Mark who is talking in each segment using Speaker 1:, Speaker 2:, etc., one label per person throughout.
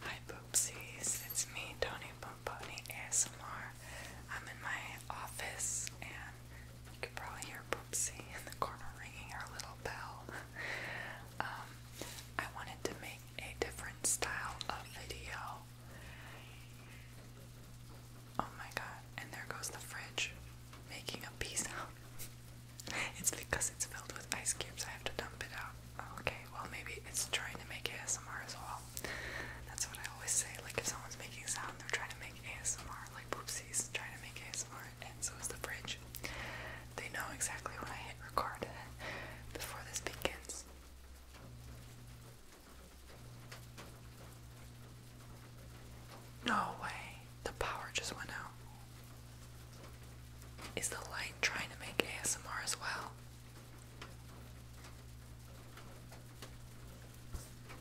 Speaker 1: Hi Poopsies, it's me, Tony Pomponi ASMR. I'm in my office and you can probably hear Poopsie in the corner ringing her little bell. um, I wanted to make a different style of video. Oh my god, and there goes the fridge making a peace out. It's because it's filled with ice cubes, I have to dump it out. Okay, well, maybe it's trying to make ASMR as well. That's what I always say. Like, if someone's making sound, they're trying to make ASMR. Like, Boopsies trying to make ASMR, and so is the fridge. They know exactly when I hit record before this begins. No way! The power just went out. Is the light trying to make ASMR as well?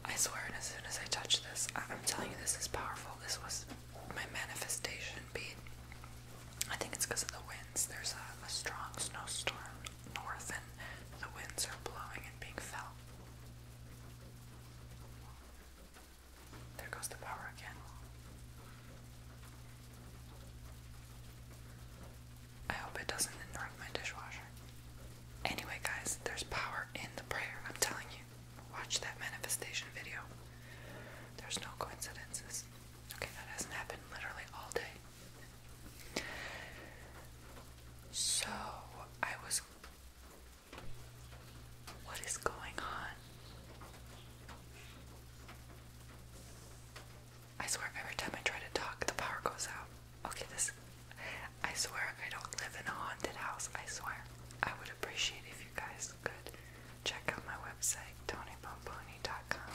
Speaker 1: I swear, and as soon as I touch this, I'm telling you, this is powerful. This was my manifestation beat. I think it's because of the winds. There's a, a strong snowstorm north, and the winds are blowing and being felt. There goes the power again. I hope it doesn't interrupt my dishwasher. Anyway, guys, there's power in the prayer, I'm telling you. Watch that manifestation video. There's no coincidences. Okay, that hasn't happened literally all day. So, I was what is going on? I swear, every time I try to talk, the power goes out. Okay, this. I swear, I don't live in a haunted house. I swear. I would appreciate if you guys could check out my website, TonyPomponi.com,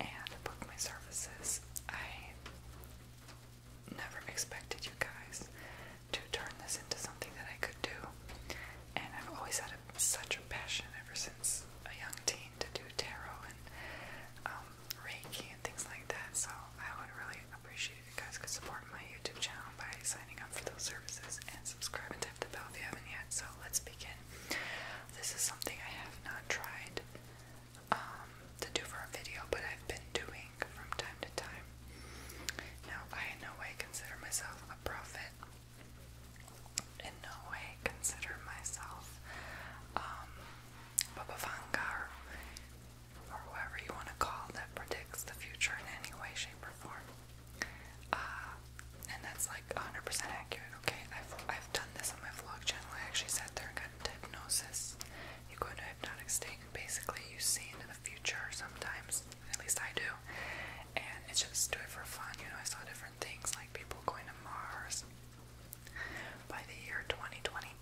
Speaker 1: and book my services. I never expected you guys to turn this into something that I could do and I've always had such a passion ever since a young teen to do tarot and um, Reiki and things like that. So I would really appreciate if you guys could support my YouTube channel by signing up for those services and subscribing to the bell if you haven't yet. So let's begin. This is something I have not tried um, to do for a video, but I've been doing from time to time. Now, I in no way consider myself a prophet in no way consider myself Baba um, Vanga or, whoever you want to call that predicts the future in any way, shape, or form. Uh, and that's like 100% accurate, okay? I've, I've done this on my vlog channel. I actually sat there and got a diagnosis. You go into a hypnotic state and basically you see into the future sometimes at least I do, and it's just do it for fun. You know, I saw different things like people going to Mars by the year 2028,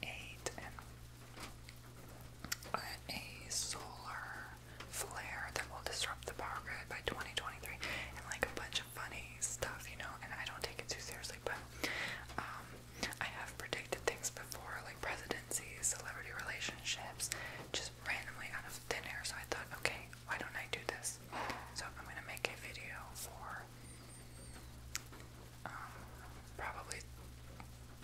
Speaker 1: and a solar flare that will disrupt the power grid by 2023, and like a bunch of funny stuff, you know. And I don't take it too seriously, but um, I have predicted things before, like presidencies, celebrity relationships, just randomly out of thin air. So I thought, okay, why don't I do this? So I'm gonna make a video for um, probably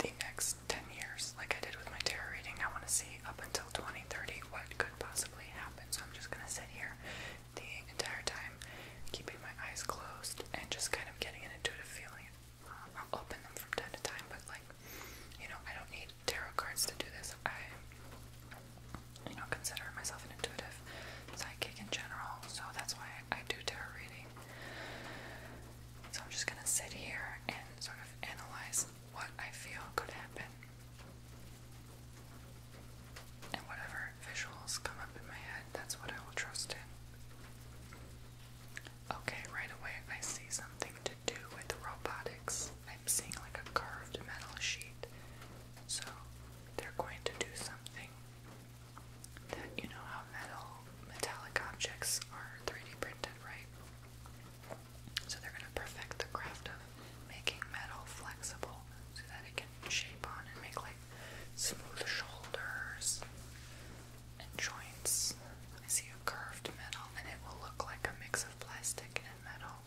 Speaker 1: the next 10 years, like I did with my tarot reading. I want to see up until 2030 what could possibly happen. So I'm just gonna sit here the entire time, keeping my eyes closed and just kind of getting an intuitive feeling. Uh, I'll open them from time to time, but like you know, I don't need tarot cards to do this. I, you know, consider myself an intuitive psychic in general, so that's why I do tarot reading. So I'm just gonna sit here and sort of analyze what I feel could happen. And whatever visuals come up in my head, that's what I will trust in. Okay, right away I see something to do with robotics. I'm seeing like a curved metal sheet. So they're going to do something that you know how metal metallic objects are 3D printed, right? So they're gonna perfect the craft of making metal flexible so that it can shape on and make like smooth shoulders and joints. I see a curved metal and it will look like a mix of plastic and metal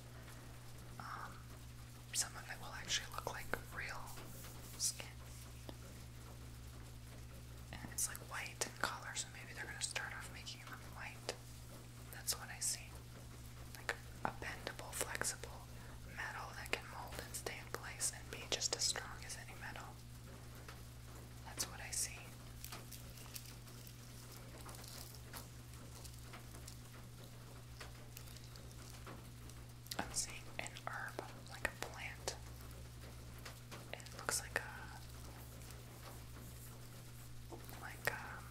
Speaker 1: some of it will actually look like real skin. And it's like white in color, so maybe they're gonna start off making them white. That's what I see. Like a bendable, flexible metal that can mold and stay in place and be just as strong as any metal. That's what I see. I'm seeing an herb, like a plant. It looks like a like a, um,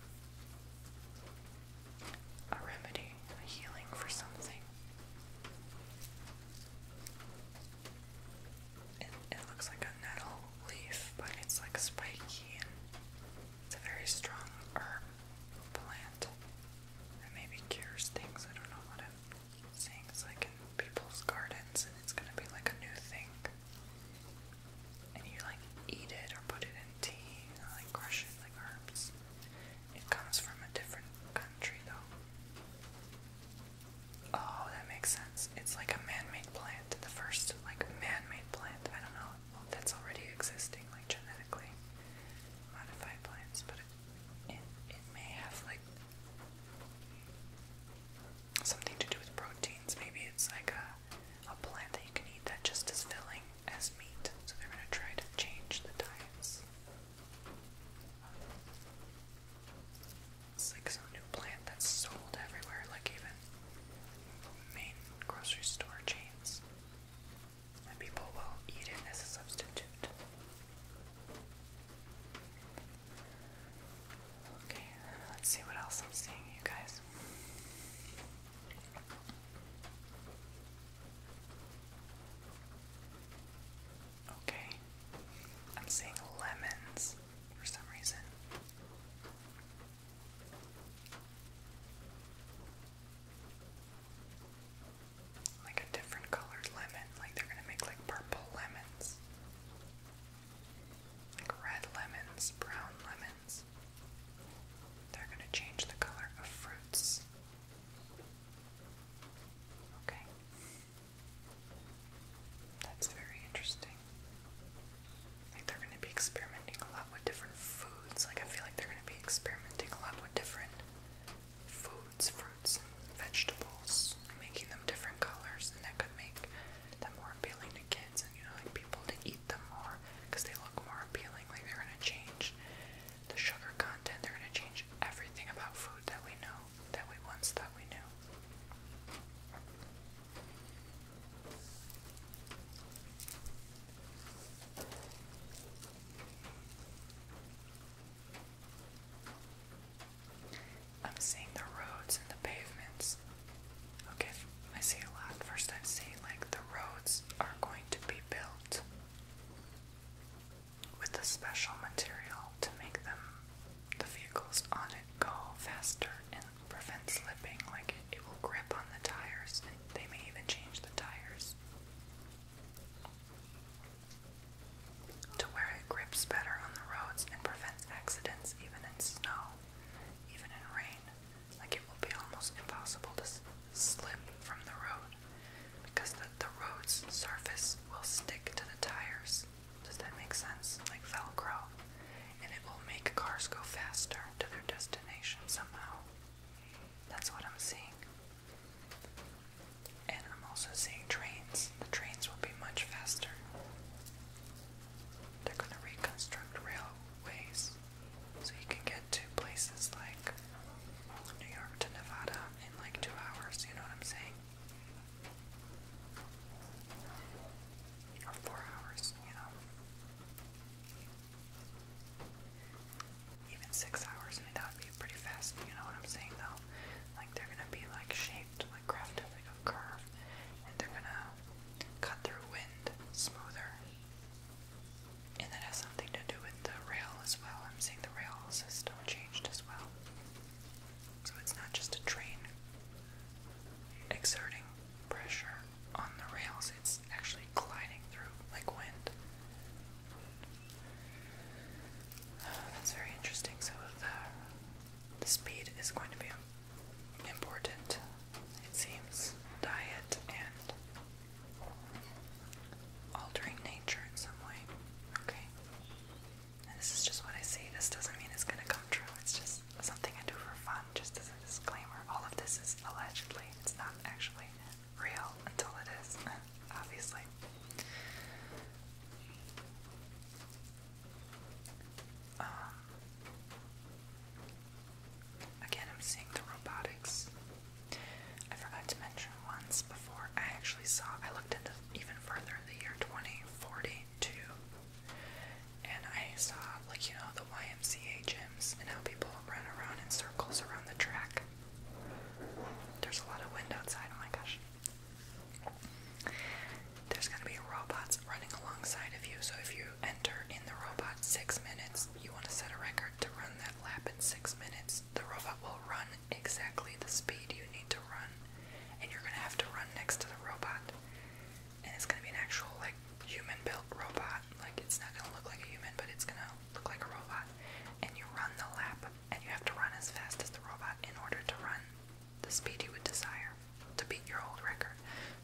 Speaker 1: a remedy, a healing for something. It, it looks like a nettle leaf, but it's like spiky and it's a very strong herb plant that maybe cures things. I don't know what It's like in people's gardens and it's gonna be like a new thing. And you like eat it or put it in tea, you like crush it like herbs. It comes from a different country though. Oh, that makes sense. It's like a man-made plant. The first like man-made plant. I don't know. that's already existing, like genetically modified plants, but it, it may have like something to do with proteins. Maybe it's like a a plant that you can eat that just is filling as meat. So they're gonna try to change the diets. It's like some new plant that's sold everywhere, like even main grocery store chains, and people will eat it as a substitute. Okay, let's see what else I'm seeing, you guys. Okay, I'm seeing lemons for some reason. Like a different colored lemon, like they're gonna make like purple lemons, like red lemons, brown lemons. They're gonna change the color of fruits. Okay. That's very interesting interesting. Like they're gonna be experimenting a lot with different foods. Like I feel like they're gonna be experimenting a lot with different foods, fruits, and vegetables, making them different colors, and that could make them more appealing to kids and you know like people to eat them more because they look more appealing. Like they're gonna change the sugar content. They're gonna change everything about food that we know that we once thought we knew. I'm seeing the roads and the pavements. Okay, I see a lot. First, I'm seeing like the roads are going to be built with a special material to make them, the vehicles on it, go faster prevent slipping. Like it, it will grip on the tires, and they may even change the tires to where it grips better on the roads and prevents accidents, even in snow, even in rain. Like it will be almost impossible to slip from the road because the, the road's surface will stick to the tires. Does that make sense? Like Velcro and it will make cars go faster to their destination somehow. That's what I'm seeing. And I'm also seeing trains. The trains will be much faster. They're going to reconstruct railways so you can get to places like New York to Nevada in like two hours. You know what I'm saying? or four hours, you know. Even six hours, I mean, that would be pretty fast, you know what I'm saying though? Like, they're gonna be like shaped, like crafted like a curve, and they're gonna cut through wind smoother. And that has something to do with the rail as well. I'm seeing the rail system changed as well. So it's not just a train exerting pressure on the rails, it's actually gliding through like wind. that's very interesting. So the, the speed is going to be important, it seems. Diet and altering nature in some way. Okay. And this is just what I see. This doesn't mean it's going to come true. It's just just something I do for fun, just as a disclaimer. All of this is allegedly, it's not actually real until it is, obviously. Um, again, I'm seeing the robotics. I forgot to mention once before I actually saw, I looked into even further in the year 2040, too. And I saw, like, you know, the YMCA gyms and how people run around in circles around the track. There's a lot of wind outside, oh my gosh. There's gonna be robots running alongside of you, so if you enter in the robot six minutes, you want to set a record to run that lap in six minutes. The robot will run exactly the speed you need to run, and you're gonna have to run next to the robot and it's gonna be an actual like human built robot. Like it's not gonna look like a human, but it's gonna look like a robot. And you run the lap, and you have to run as fast as the robot in order to run the speed you would desire to beat your old record.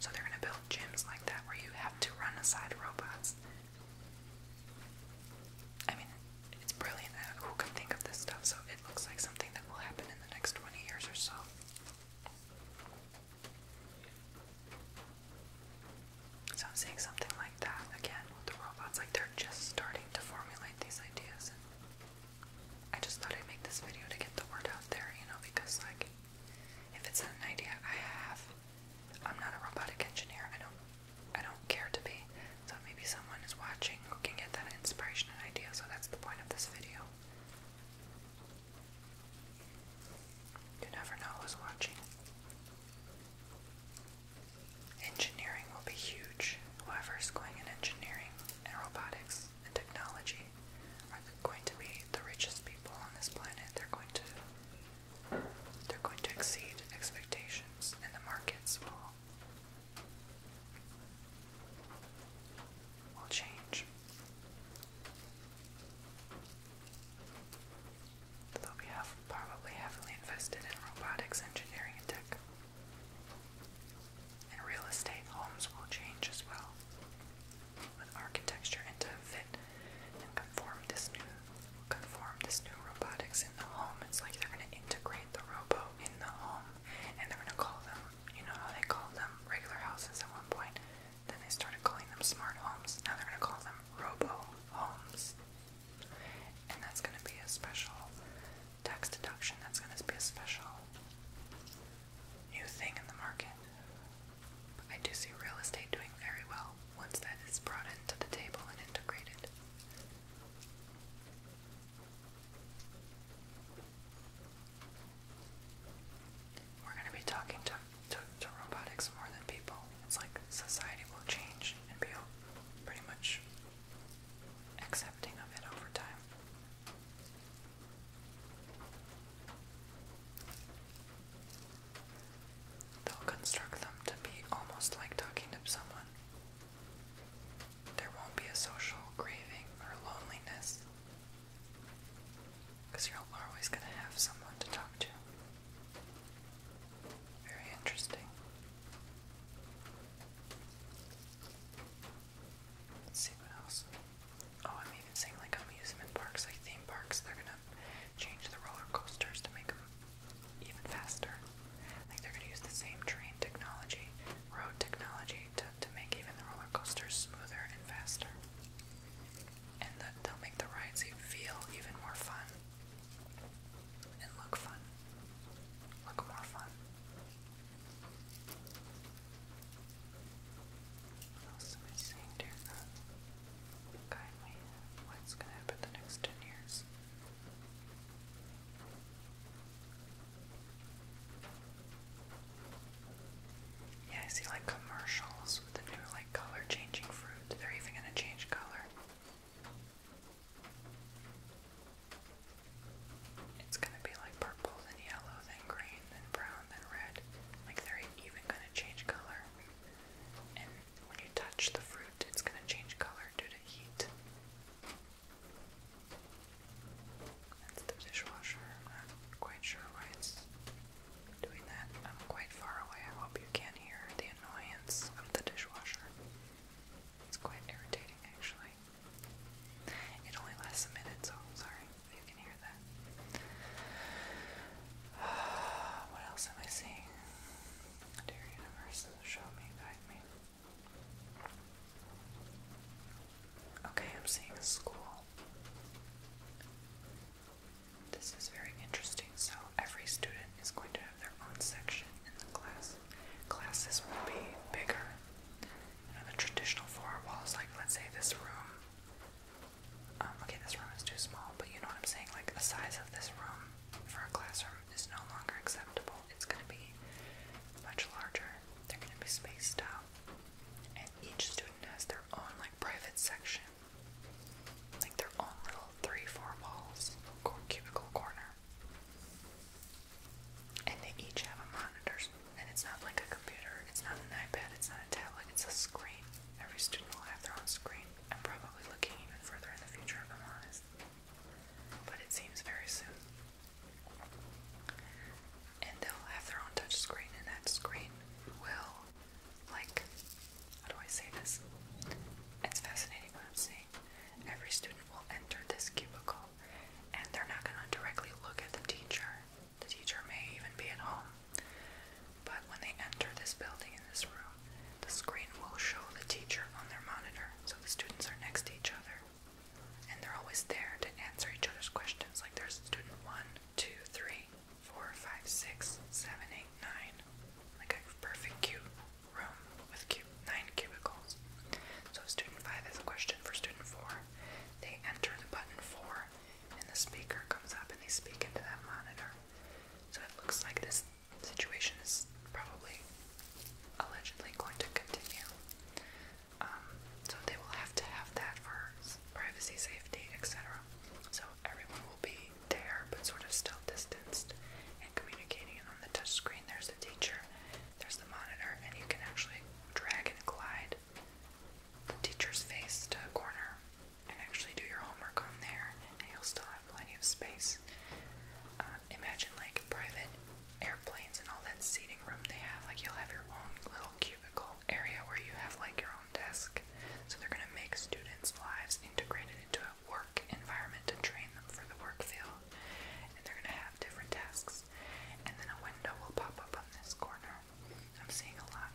Speaker 1: So they're gonna build gyms like that where you have to run aside robots. I mean, it's brilliant. Who can think of this stuff? So it looks like something that will happen in the next 20 years or so. So I'm seeing something like that again with the robots. Like they're just starting to formulate these ideas. I just thought I'd make this video to get the word out there, you know, because like if it's an idea I have, I'm not a robotic engineer. I don't I don't care to be. So maybe someone is watching who can get that inspiration and idea. So that's the point of this video. You never know who's watching. Engineering will be huge. Whoever's going in engineering and robotics and technology are going to be the richest people on this planet. They're going to they're going to exceed expectations and the markets will will change. Though we have probably heavily invested in robotics, engineering, and tech. In real estate, homes will change as well, with architecture and to fit and conform this new conform this new robotics in the home. It's like they're gonna integrate the robo in the home, and they're gonna call them, you know how they called them regular houses at one point, then they started calling them smart homes. Now they're going to call them robo homes. And that's going to be a special tax deduction. That's going to be a special new thing in the market. But I do see real estate doing very well once that is brought into the table and integrated. We're going to be talking to, to, to robotics more than people. It's like society will change and be pretty much accepting of it over time. They'll construct them to be almost like talking to someone. There won't be a social craving or loneliness. Because you're always going to have someone to talk to. Very interesting. see what else. Oh, I'm even seeing like amusement parks, like theme parks. They're gonna change the roller coasters to make them even faster. Like they're gonna use the same train technology, road technology to make even the roller coasters smoother and faster. And that they'll make the rides feel even more fun. And look fun. Look more fun. What else am I saying, dear God? Guide What's going to happen the next 10 years? Yeah, I see like commercials with the new like color changing fruit. They're even gonna change color. It's gonna be like purple, then yellow, then green, then brown, then red. Like they're even gonna change color. And when you touch the fruit, it's gonna change color due to heat the dishwasher. I'm not quite sure why it's doing that. I'm quite far away. I hope you can hear the annoyance of the dishwasher. It's quite irritating, actually. It only lasts a minute, so sorry if you can hear that. What else am I seeing? Dear universe, show me, guide me. Okay, I'm seeing a school. This is very interesting. So every student is going to have their own section in the class. Classes will be bigger. than the traditional four walls, like let's say this room. Um, okay, this room is too small, but you know what I'm saying? Like the size of this room for a classroom is no longer acceptable. It's going to be much larger. They're going to be spaced out, and each student has their own like private section. Like their own little three, four walls, cubicle corner. And they each have a monitor. And it's not like a computer, it's not an iPad, it's not a tablet, it's a screen. Every student will have their own screen. I'm probably looking even further in the future if I'm honest. But it seems very soon and they'll have their own touch screen, and that screen will, like, how do I say this? It's fascinating what I'm saying. Every student will enter this cubicle, and they're not going to directly look at the teacher. The teacher may even be at home. But when they enter this building in this room, the screen will show the teacher on their monitor, so the students are next to each other. And they're always there to answer each other's questions. Like there's student one two, three, four, five, six, seven, eight, nine. Like a perfect cube room with nine cubicles. So student five has a question for student four. They enter the button four and the speaker comes up and they speak into that monitor. So it looks like this situation is probably allegedly going to continue. Um, so they will have to have that for privacy, safety, etc. So everyone will be there but sort of still distanced and communicating. And on the touch screen, there's the teacher, there's the monitor, and you can actually drag and glide the teacher's face to a corner and actually do your homework on there, and you'll still have plenty of space. Um, imagine like private airplanes and all that seating room they have, like you'll have your own little cubicle area where you have like your own desk. So they're going to make students' lives integrated into a work environment to train them for the work field. And they're going to have different tasks. And then a window will pop up on this corner. I'm seeing a lot.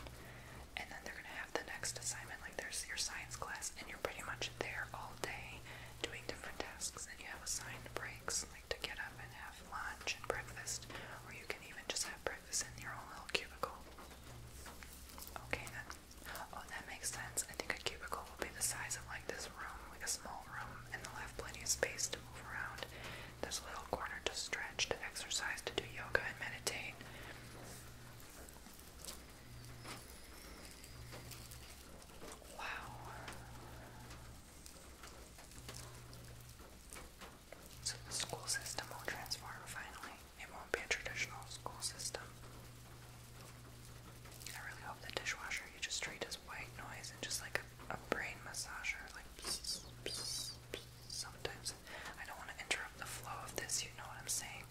Speaker 1: And then they're going to have the next assignment. Like there's your science class, and you're pretty much there all day doing different tasks. And you have assigned breaks, like to get up and have lunch and breakfast, or you can even just have breakfast practice in your own little cubicle. Okay then. Oh, that makes sense. I think a cubicle will be the size of like this room, like a small room, and they'll have plenty of space to move around. There's a little corner to stretch, to exercise, to do yoga and meditate. Wow. So the school system will transform finally. It won't be a traditional school system. I really hope the dishwasher you just treat as white noise and just like a, a brain massager, like sometimes. I don't want to interrupt the flow of this, you know what I'm saying?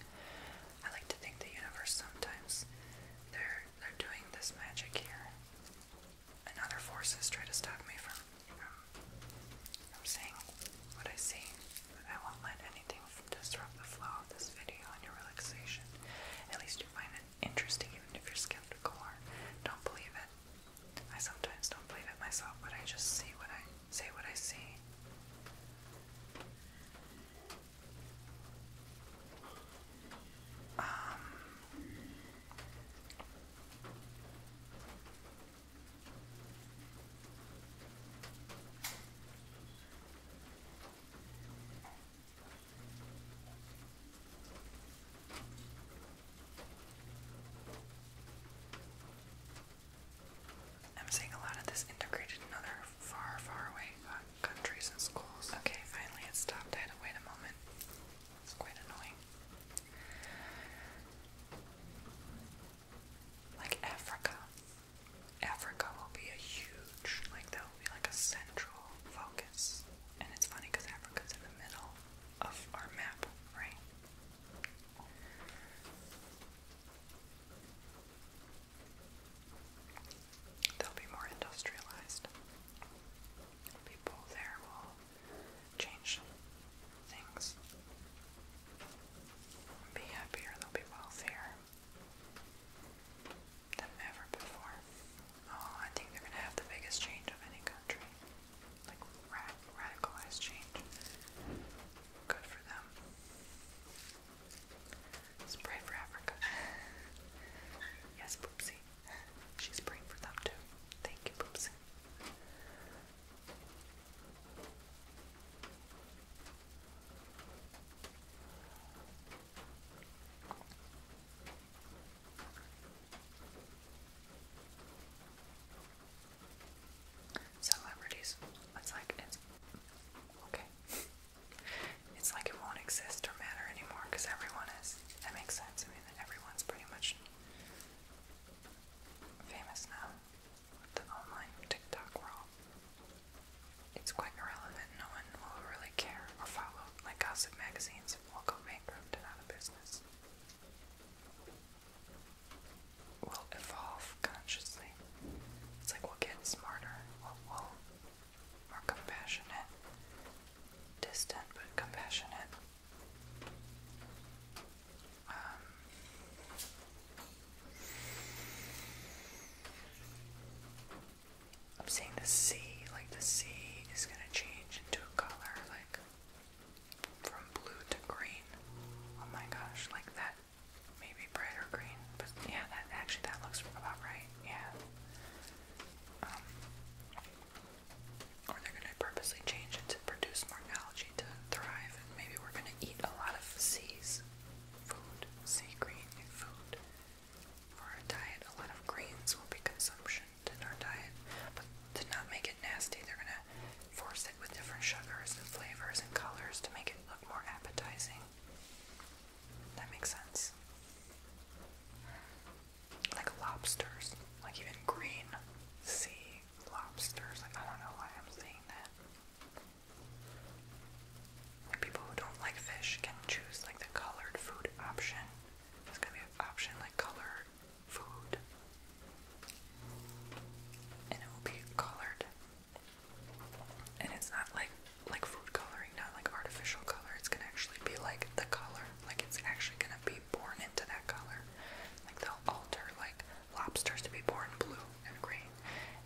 Speaker 1: I like to think the universe sometimes they're they're doing this magic here. And other forces try to stop me from I'm saying what I see. I won't let anything disrupt the flow of this video and your relaxation. At least you find it interesting, even if you're skeptical don't believe it. I sometimes don't believe it myself, but I just see what I say what I see. Um, I'm seeing a lot of this integrated in other far, far away uh, countries and schools. Okay, finally it stopped. I had to wait a moment. It's quite annoying. Like Africa. Africa will be a huge, like that will be like a central focus. And it's funny because Africa's in the middle of our map, right? They'll be more industrialized. People there will change things. Be happier, they'll be wealthier than ever before. Oh, I think they're gonna have the biggest change of any country. Like radicalized change. Good for them. Let's pray for Africa. yes, Poopsie. She's praying for them too. Thank you, Poopsie. Celebrities, it's like it's okay. it's like it won't exist or matter anymore because everyone is. That makes sense. I mean, everyone's pretty much famous now the online TikTok world. It's quite irrelevant. No one will really care or follow. Like gossip magazines will go bankrupt and out of business. will evolve consciously. It's like we'll get smarter. more compassionate, distant but compassionate. I'm seeing the sea, like the sea is going to change into a color, like from blue to green. Oh my gosh, like that, maybe brighter green, but yeah, that actually that looks about right, yeah. Um, or they're going to purposely change it to produce more algae to thrive. And maybe we're going to eat a lot of seas food, sea green food for our diet. A lot of greens will be consumption in our diet, but to not make it nasty, they're going to force it with different sugars and flavors and colors to make it look more appetizing. That makes sense. Like lobsters, like even green sea lobsters. Like, I don't know why I'm saying that. Like, people who don't like fish can choose like the colored food option. There's gonna be an option like colored food, and it will be colored. And it's not like like food coloring, not like artificial color. It's gonna actually be like the color. Like it's actually gonna be be born into that color. Like they'll alter like lobsters to be born blue and green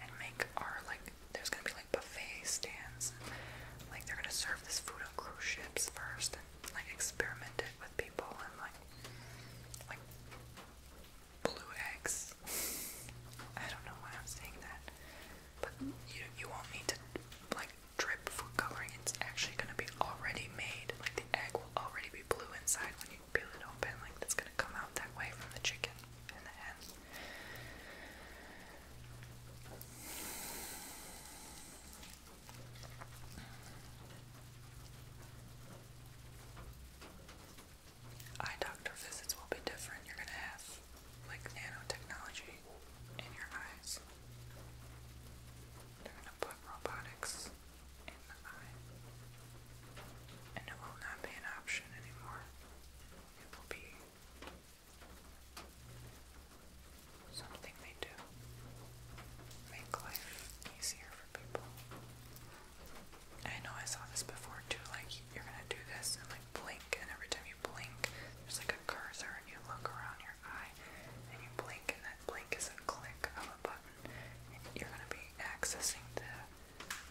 Speaker 1: and make our like there's gonna be like buffet stands and, like they're gonna serve this food on cruise ships first and like experiment it with people and like like blue eggs. I don't know why I'm saying that. But you you won't need to like drip food coloring. It's actually gonna be already made. Like like egg will already be blue inside when you peel it open. Like that's gonna come out that way from the chicken in the Eye doctor visits will be different. You're gonna have like nanotechnology in your eyes. They're gonna put robotics in the eye. And it will not be an option anymore. It will be something they do. Make life easier for people. I know I saw this before too, like you're gonna do this and like blink and every time you blink there's like a cursor and you look around your eye and you blink and that blink is a click of a button. You're going to be accessing the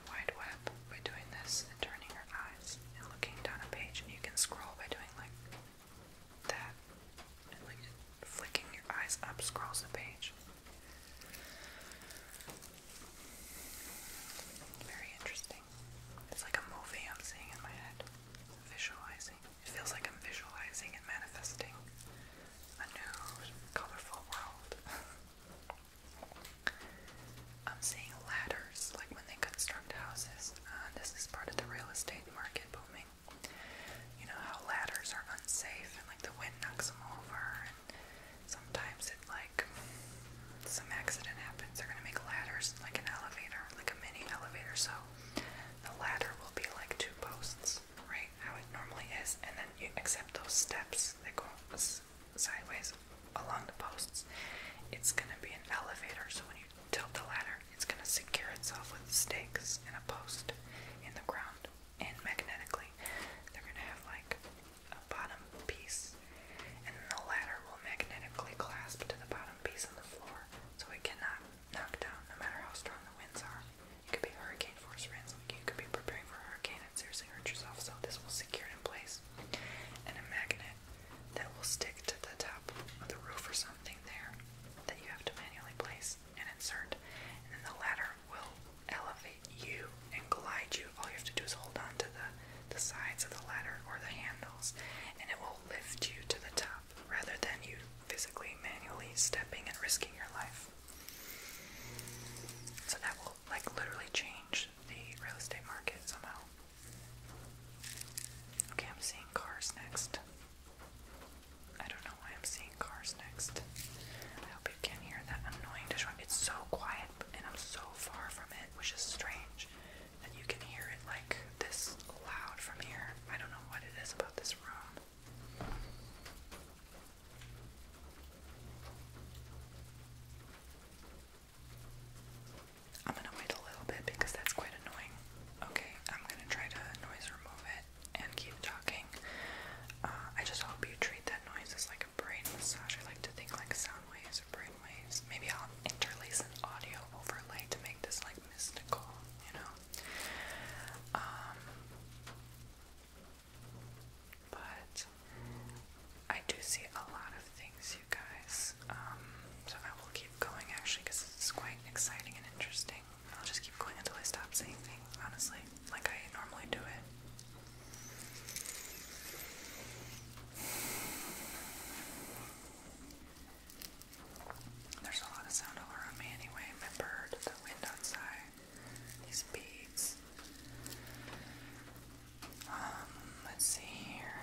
Speaker 1: wide web by doing this and turning your eyes and looking down a page. And you can scroll by doing like that. And like flicking your eyes up scrolls the page. Very interesting. It's like a movie I'm seeing in my head. Visualizing. It feels like I'm visualizing and manifesting a new, colorful world. I'm seeing ladders, like when they construct houses. Uh, this is part of the real estate market booming. You know how ladders are unsafe and like the wind knocks them over, and sometimes it like some accident happens. They're gonna make ladders like an elevator, like a mini elevator. So the ladder will be like two posts right? How it normally is, and then you accept those steps that go sideways along the posts. It's gonna be an elevator, so when you tilt the ladder, it's gonna secure itself with stakes in a post in the ground. And magnetically, they're gonna have like a bottom piece, and then the ladder will magnetically clasp to the bottom piece on the floor, so it cannot knock down no matter how strong the winds are. It could be hurricane force winds. you could be preparing for a hurricane and seriously hurt yourself. So this will secure it in place. And a magnet that will stick to the top of the roof or something there that you have to manually place and insert. And then the ladder will elevate you and glide you. All you have to do is hold on to the the sides of the ladder or the handles, and it will lift you to the top rather than you physically manually stepping and risking your life. So that will like literally change the real estate market somehow. Okay, I'm seeing cars next. I don't know why I'm seeing cars next. I hope you can hear that annoying dishwasher. It's so quiet and I'm so far from it, which is strange. And you can hear it like this loud from here. I don't know what it is about this room. I'm gonna wait a little bit because that's quite annoying. Okay, I'm gonna try to noise remove it and keep talking. Uh, I just hope you treat that noise as like a brain massage. I like to think like sound waves or brain waves. Maybe I'll interlace an audio overlay to make this like mystical, you know? Um, but I do see a lot of things, you guys. Um, so I will keep going actually because it's quite exciting and interesting. I'll just keep going until I stop saying things, honestly, like I normally do it. There's a lot of sound all around me anyway. My bird, the wind outside these beads. Um, let's see here.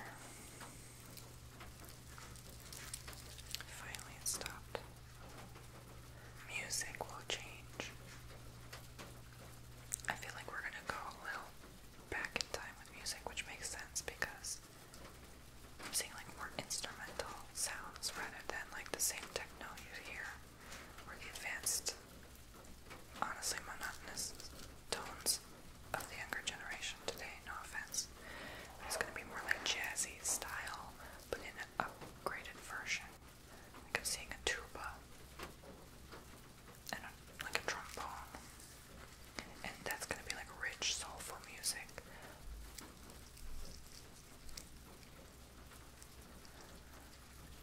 Speaker 1: Finally, stopped. Music will change. I feel like we're gonna go a little back in time with music, which makes sense because I'm seeing like more instrumental sounds rather than like the same techno you hear or the advanced, honestly monotonous tones of the younger generation today, no offense. it's gonna be more like jazzy style, but in an upgraded version. Like I'm seeing a tuba and a, like a trombone. And that's gonna be like rich, soulful music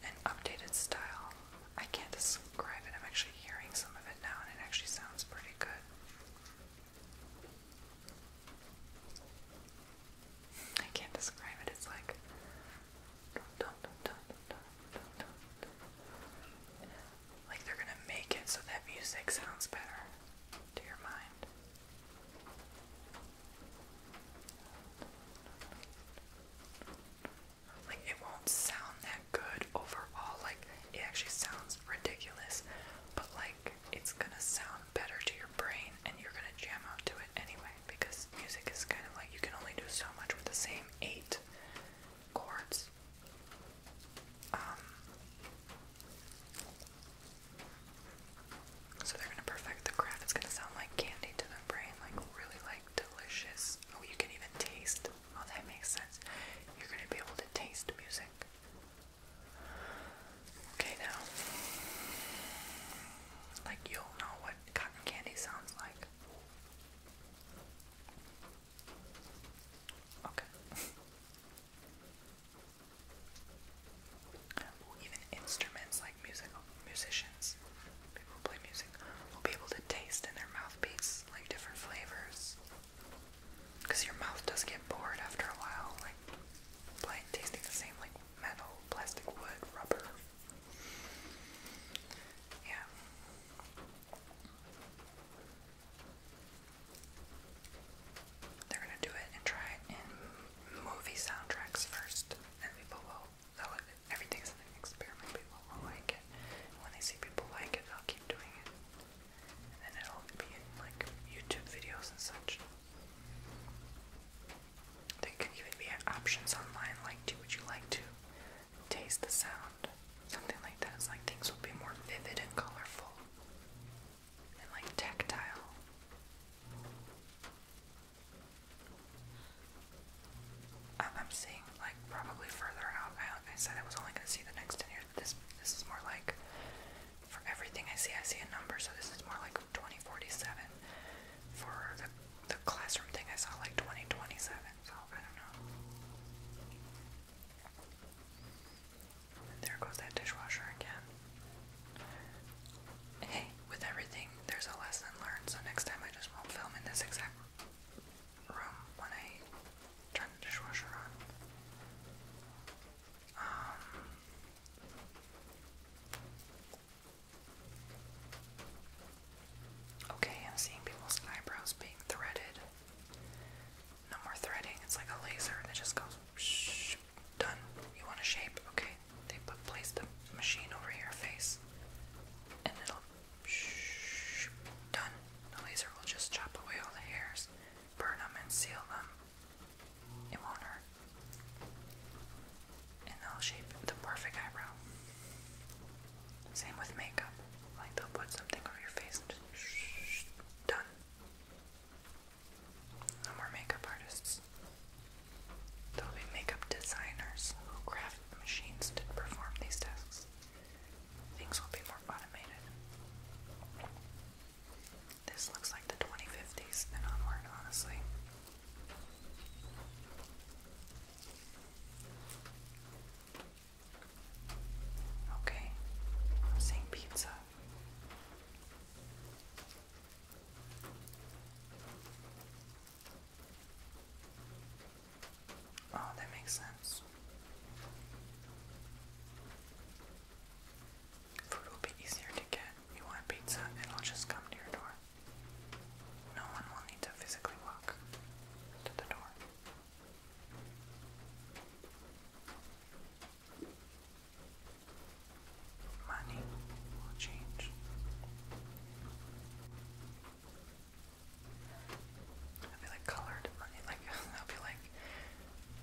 Speaker 1: an updated style. I can't describe it. I'm actually hearing some of it now, and it actually sounds pretty good. I can't describe it. It's like like they're gonna make it so that music sounds better to your mind. Like, it won't sound that good overall. Like, it actually sounds ridiculous, but like, it's gonna sound better to your brain and you're gonna jam out to it anyway because music is kind of like you can only do so much with the same eight chords. Um, so they're gonna perfect the craft. It's gonna sound like candy to their brain, like really like delicious. Oh, you can even taste. Oh, that makes sense. You're gonna be able to taste music. Okay, now, like you'll know what cotton candy sounds like. Okay. even instruments like musical musicians, people who play music, will be able to taste in their mouthpiece like different flavors. Because your mouth does get bored after a while, like playing, tasting the same like metal, plastic, wood, rubber. Yeah. They're gonna do it and try it in movie soundtracks first, and people will. Everything's an experiment. People will like it. when they see people like it, they'll keep doing it, and then it'll be in like YouTube videos and such. There can even be options online like, "Do would you like to taste the sound?" Something like that. It's like things will be more vivid and colorful and like tactile. I'm, I'm seeing like probably further out. I, I said I was only going to see the next 10 years, but this, this is more like for everything I see, I see a number, so this is more like 2047. For the, the classroom thing, I saw like 2027, so I don't know. And there goes that dishwasher again. Hey, with everything, there's a lesson learned, so next time I just won't film in this exact room when I turn the dishwasher on. Um, okay, I'm seeing people's eyebrows being threaded. No more threading, it's like a laser that just goes done. You want a shape? Okay they put place the machine over your face, and it'll shh, done. The laser will just chop away all the hairs, burn them, and seal them. It won't hurt, and they'll shape the perfect eyebrow. Same with makeup. Like they'll put something over your face and just shh, done. No more makeup artists. There'll be makeup designers who craft the machines to perform these tasks. Things will be more automated. This looks like the 2050s and onward, honestly. Okay, i pizza. Oh, that makes sense. Food will be easier to get. You want pizza, it'll just come to your door. No one will need to physically walk to the door money will change. It'll be like colored money, like it'll be like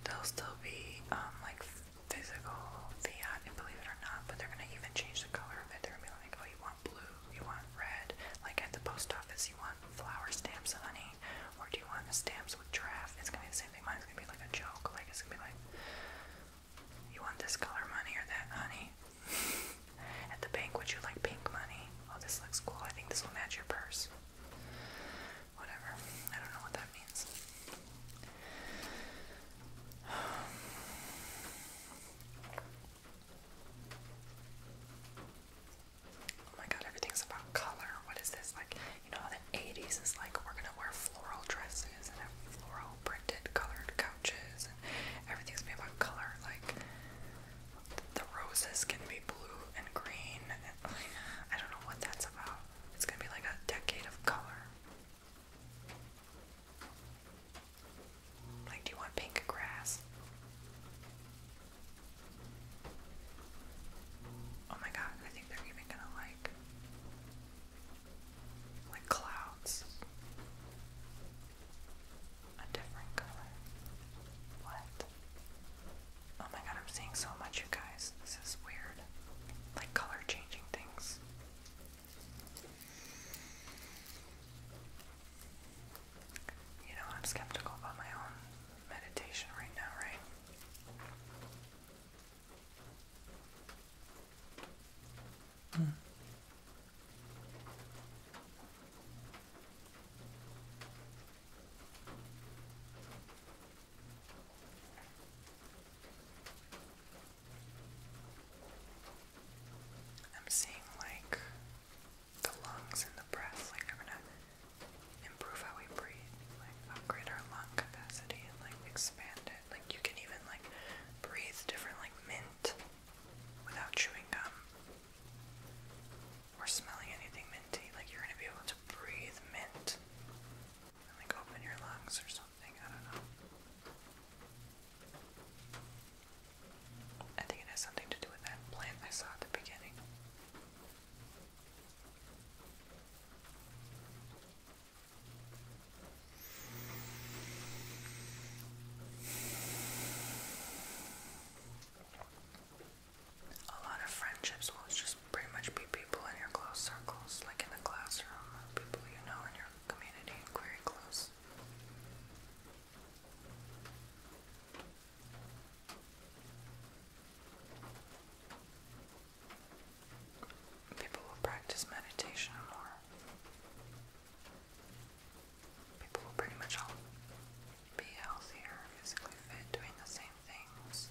Speaker 1: there'll still be um, like physical fiat, believe it or not, but they're gonna even change the color of it. They're gonna be like, oh, you want blue, you want red, like at the post office, you want flower stamps, honey, or do you want the stamps with draft? It's gonna be the same thing. Mine's gonna be like a joke, like it's gonna be like you want this color money or that honey? At the bank, would you like pink money? Oh, this looks cool. I think this will match your purse. Whatever. I don't know what that means. Oh my god, everything's about color. What is this? Like, you know, 80s is like we're gonna wear floral dresses and have floral printed colored couches and everything's made by color like the roses can be blue and green and I don't know what that's about it's gonna be like a decade of color like do you want pink grass Oh my god, I think they're even gonna like like clouds. A different color. What? Oh my god, I'm seeing so much, you guys. This is weird. Like color changing things. You know, I'm skeptical about my own meditation right now, right? Hmm. I'm seeing like the lungs and the breath, like we're gonna improve how we breathe, like upgrade our lung capacity and like expand it. Like you can even like breathe different like mint without chewing gum or smelling anything minty. Like you're gonna be able to breathe mint like open your lungs or something. I don't know. I think it has something to do with that plant I saw at the beginning. A lot of friendships will just pretty much be people in your close circles, like in the classroom, people you know in your community, very close people will practice meditation more. People will pretty much all be healthier, physically fit, doing the same things.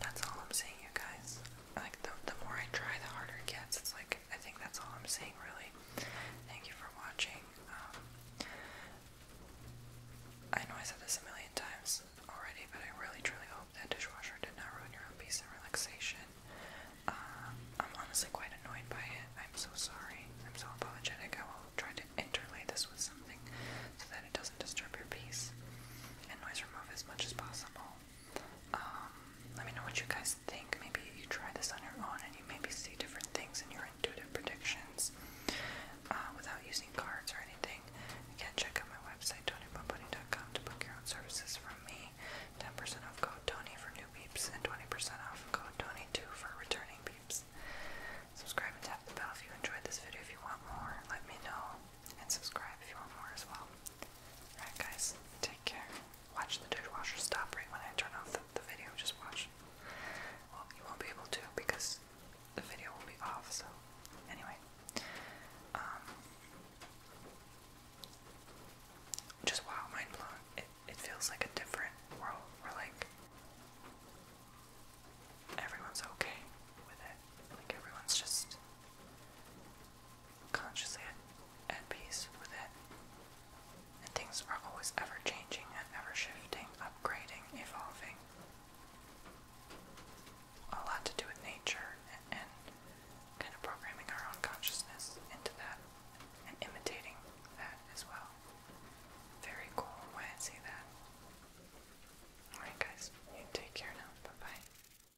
Speaker 1: That's all I'm saying, you guys like the, the more I try, the harder it gets. It's like I think that's all I'm saying, really. Thank you for watching. Um, I know I said this a million times already, but I really truly hope that dishwasher did not ruin your peace and relaxation. Um, I'm honestly quite annoyed by it. I'm so sorry. I'm so apologetic. I will try to interlay this with something so that it doesn't disturb your peace and noise remove as much as possible. Um, let me know what you guys think. Maybe you try this on your own and you maybe see different things in your intuitive predictions uh, without using cards or anything. Again, check out my website, tonypomponi.com, to book your own services from me. 10% off code Tony for new peeps and 20% off code Tony2 for returning peeps. Subscribe and tap the bell if you enjoyed this video. If you want more, let me know. And subscribe if you want more as well. Alright, guys, take care. Watch the dishwasher stop right when I turn off the, the video. Just watch. Well, you won't be able to because the video will be off, so anyway. Um, just wow, mind blown. It, it feels like a different world. We're like, everyone's okay with it. Like, everyone's just consciously at, peace with it. And things are always ever changing and ever shifting, upgrading, evolving. A lot to do with nature and, kind of programming our own consciousness into that and imitating that as well. Very cool way I see that. Alright, guys, you take care now. Bye bye.